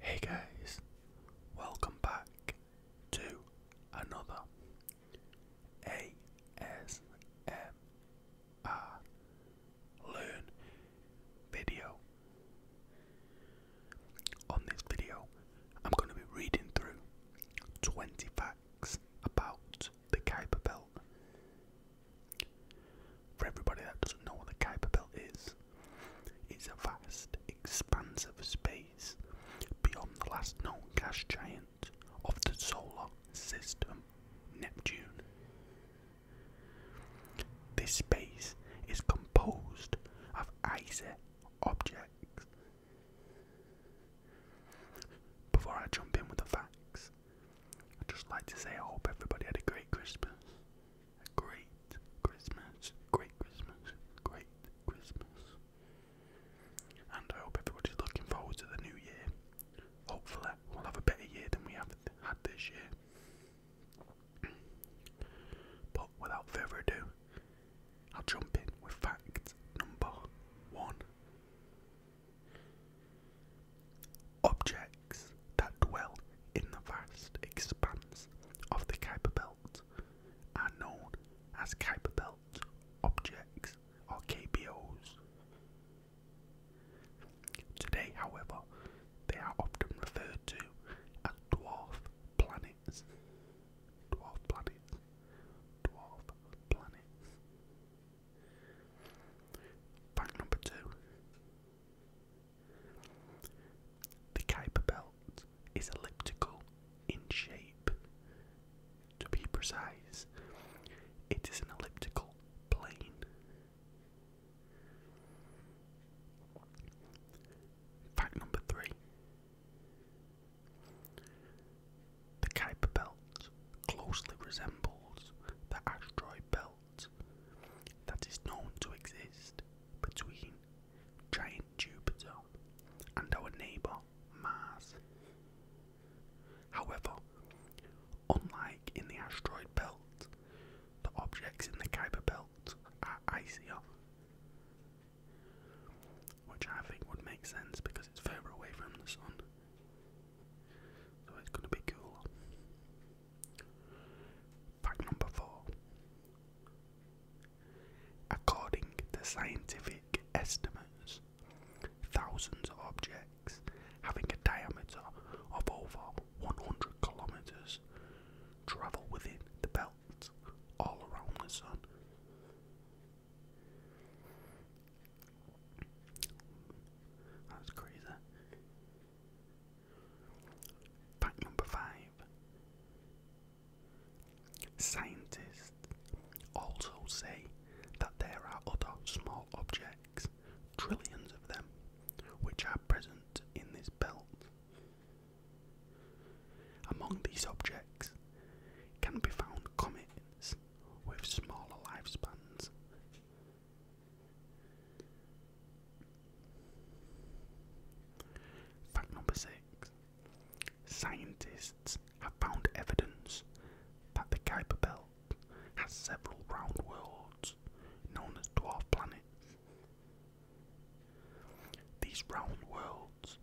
Hey guys, welcome back to another ASMR Learn video. On this video, I'm going to be reading through 20 facts about the Kuiper Belt for everybody that doesn't know what the Kuiper Belt is, it's a vast expanse of space beyond the last known gas giant of the solar system, Neptune. This space is composed of icy objects. Before I jump in with the facts, I'd just like to say I hope everybody had a great Christmas great Christmas, great Christmas, great Christmas. And I hope everybody's looking forward to the new year. Hopefully, we'll have a better year than we have had this year. but without further ado, I'll jump in with fact number one. Objects that dwell in the vast expanse of the Kuiper Belt are known as Kuiper Belt objects or KBOs. Today, however, they are often referred to as dwarf planets. Dwarf planets. Dwarf planets. Fact number two the Kuiper belt is elliptical in shape. To be precise, it is an elliptical plane. Fact number three the Kuiper belt closely resembles the asteroid belt that is known to exist between giant Jupiter and our neighbour Mars. However, unlike in the asteroid belt, the objects in the Kuiper belt are icy, which I think would make sense because it's further away from the Sun. So oh, it's gonna be cool. Fact number four. According to scientific estimates, thousands of objects having a diameter of over 100 kilometers travel within the belt all around the sun. That's crazy. Fact number five. Scientists also say that there are other small objects, trillions of them, which are present in this belt. Among these objects can be found comets with smaller lifespans Fact number six Scientists have found evidence that the Kuiper Belt has several round worlds known as dwarf planets. These round worlds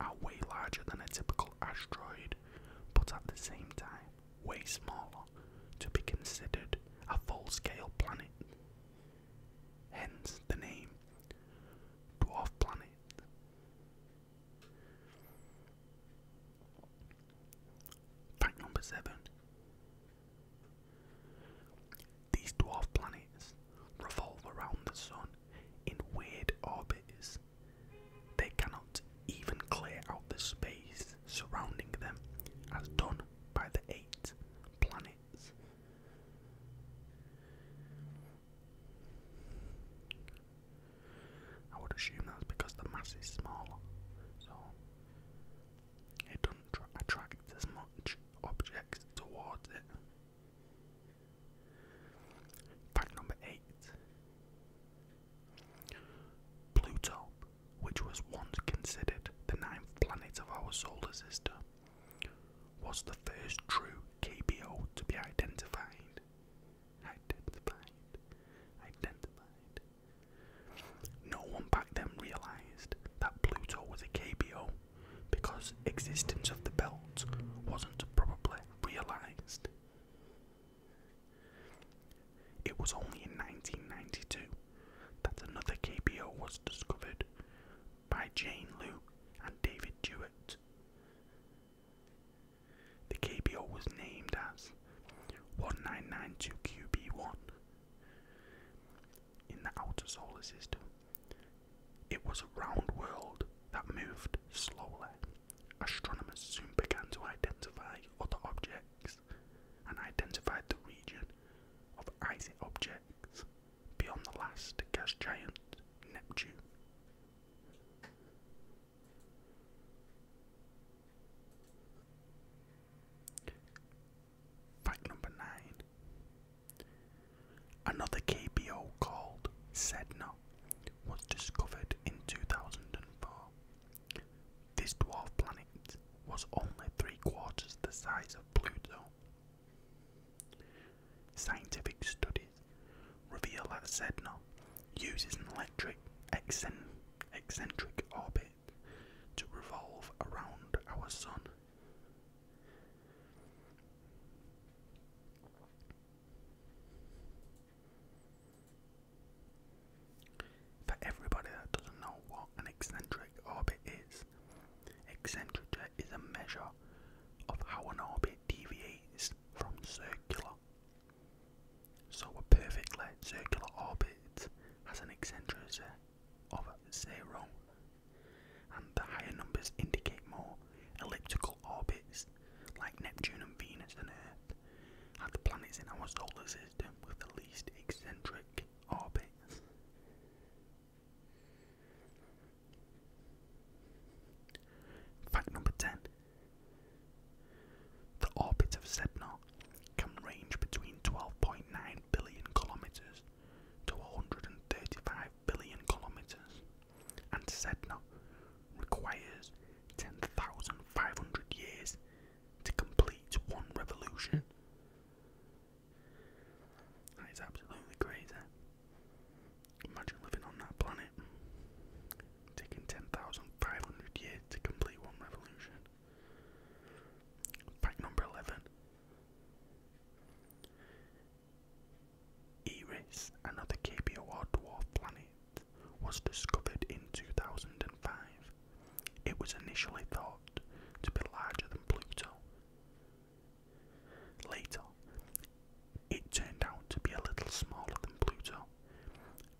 are way larger than a typical asteroid, but at the same time, way smaller to be considered a full scale planet. Hence the name Dwarf Planet. Fact number seven These dwarf planets revolve around the Sun in weird orbits they cannot even clear out the space surrounding them as done by the eight planets. I would assume that's because the mass is smaller, so it doesn't attract as much objects towards it. Fact number eight Pluto, which was once considered the ninth planet of our solar system, was the first true KBO to be identified. Identified. Identified. No one back then realised that Pluto was a KBO because existence of the belt wasn't probably realised. It was only in 1992 that another KBO was discovered by Jane Liu and David Jewett. The KBO was named as 1992QB1 in the outer solar system. It was a round world that moved slowly astronomers soon began to identify other objects and identified the region of icy objects beyond the last gas giant, Neptune. Fact number 9. Another KBO called Sedna was discovered in 2004. This dwarf planet was only three quarters the size of Pluto. Scientific studies reveal that Sedna uses an electric eccentric orbit to revolve around our Sun. For everybody that doesn't know what an eccentric orbit is, eccentricity is a measure of how an orbit deviates from circular. So a perfectly circular orbit has an eccentricity of zero, and the higher numbers indicate more elliptical orbits like Neptune and Venus and Earth are the planets in our solar system with the least eccentric orbits. Fact number 10 The orbit of Sedna can range between 12.9 billion kilometers to 135 billion kilometers and Sedna requires 10,500 years to complete one revolution. That is absolutely crazy. Imagine living on that planet. Taking 10,500 years to complete one revolution. Fact number 11. Eris, another KBO KBOR dwarf planet, was discovered in 2005. It was initially thought to be larger than Pluto. Later, it turned out to be a little smaller than Pluto.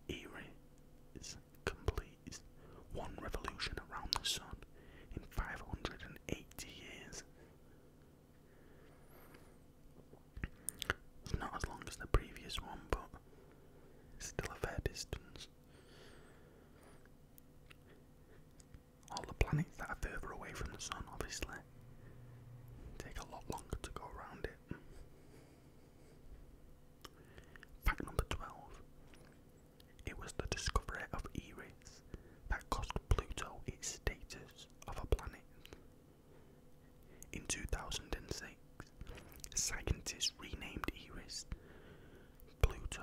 Eris completes one revolution around the Sun in 580 years. It's not as long as the previous one, but still a fair distance. All the planets that are further away from the sun, obviously, take a lot longer to go around it. Fact number 12 It was the discovery of Eris that cost Pluto its status of a planet. In 2006, scientists renamed Eris Pluto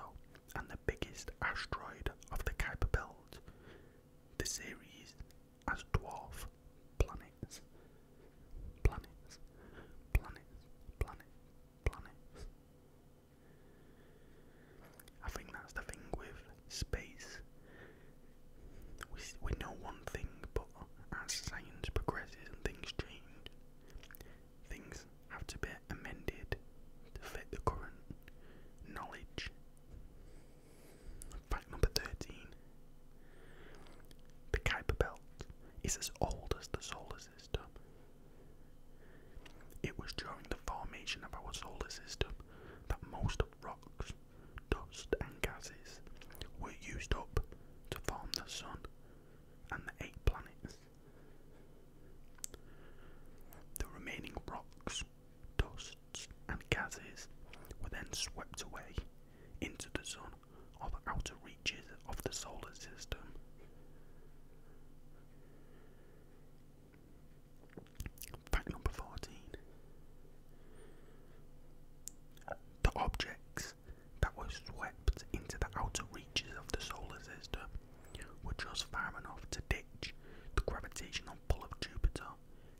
and the biggest asteroid of the Kuiper Belt, the series, as dwarf planets. Planets, planets, planets, planets. I think that's the thing with space. We, we know one thing, but as science progresses and things change, things have to be amended to fit the current knowledge. Fact number 13 The Kuiper Belt is as old as the solar system. It was during the formation of our solar system that most rocks, dust, and gases were used up to form the Sun and the eight planets. The remaining rocks, dusts, and gases were then swept away into the Sun or the outer reaches of the solar system. Fact number 14. The objects that were swept into the outer reaches of the solar system were just far enough to ditch the gravitational pull of Jupiter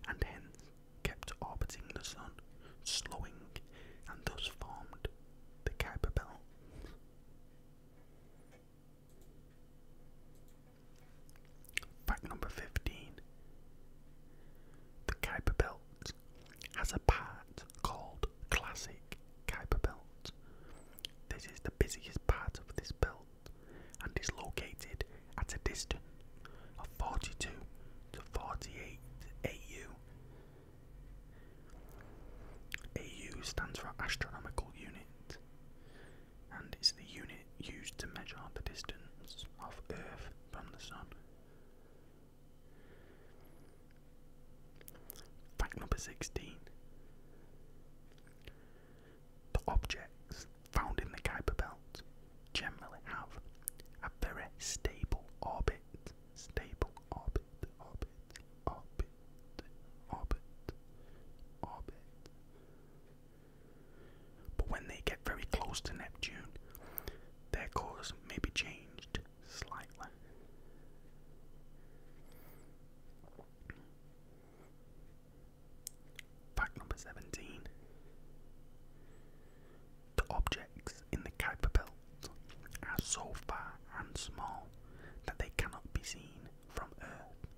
and hence kept orbiting the Sun, slowing and thus formed the Kuiper Belt. Fact number 15 The Kuiper Belt has a part called Classic Kuiper Belt. This is the busiest part of this belt and is located at a distance of 42 to 48 AU. AU stands for Astronomical Unit and it's the unit used to measure the distance of Earth from the Sun. Fact number 16. The objects found in the Kuiper Belt generally have a very stable orbit. Stable orbit, orbit, orbit orbit, orbit, But when they get very close to Neptune, their course may be changed slightly. Fact number 17 The objects in the Kuiper Belt are so far and small that they cannot be seen from Earth.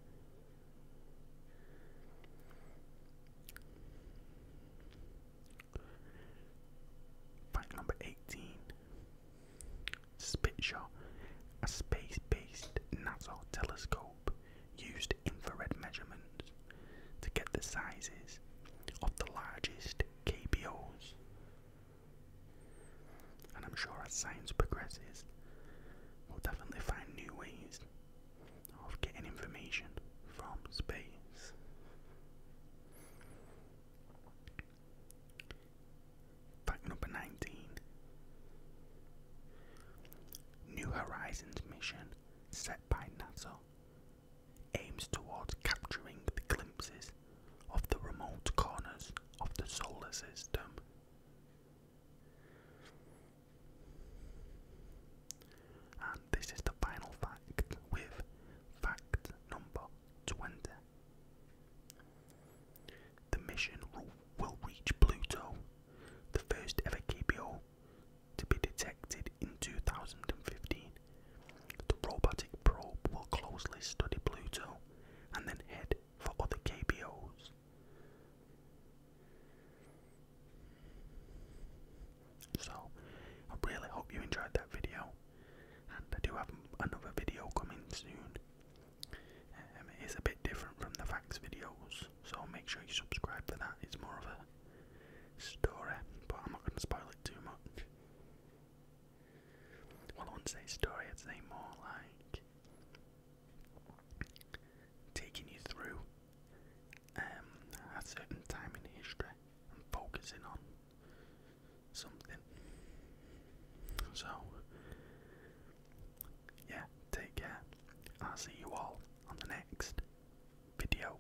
Fact number 18 Spitzer, a space based NASA telescope, used infrared measurements to get the sizes of the largest KBOs and I'm sure as science progresses, we'll definitely find new ways of getting information from space. Fact number 19 New Horizons mission set by NASA aims towards capturing the glimpses of the remote corners of the solar system and this is the final fact with fact number 20. The mission will reach Pluto, the first ever KBO to be detected in 2015. The robotic probe will closely study Pluto and then head for other KBOs. So, I really hope you enjoyed that video, I do have another video coming soon. Um, it is a bit different from the facts videos, so make sure you subscribe for that. It's more of a story, but I'm not going to spoil it too much. Well, I wouldn't say story, I'd say more like taking you through um, a certain time in history and focusing on something. So, yeah, take care. I'll see you all on the next video.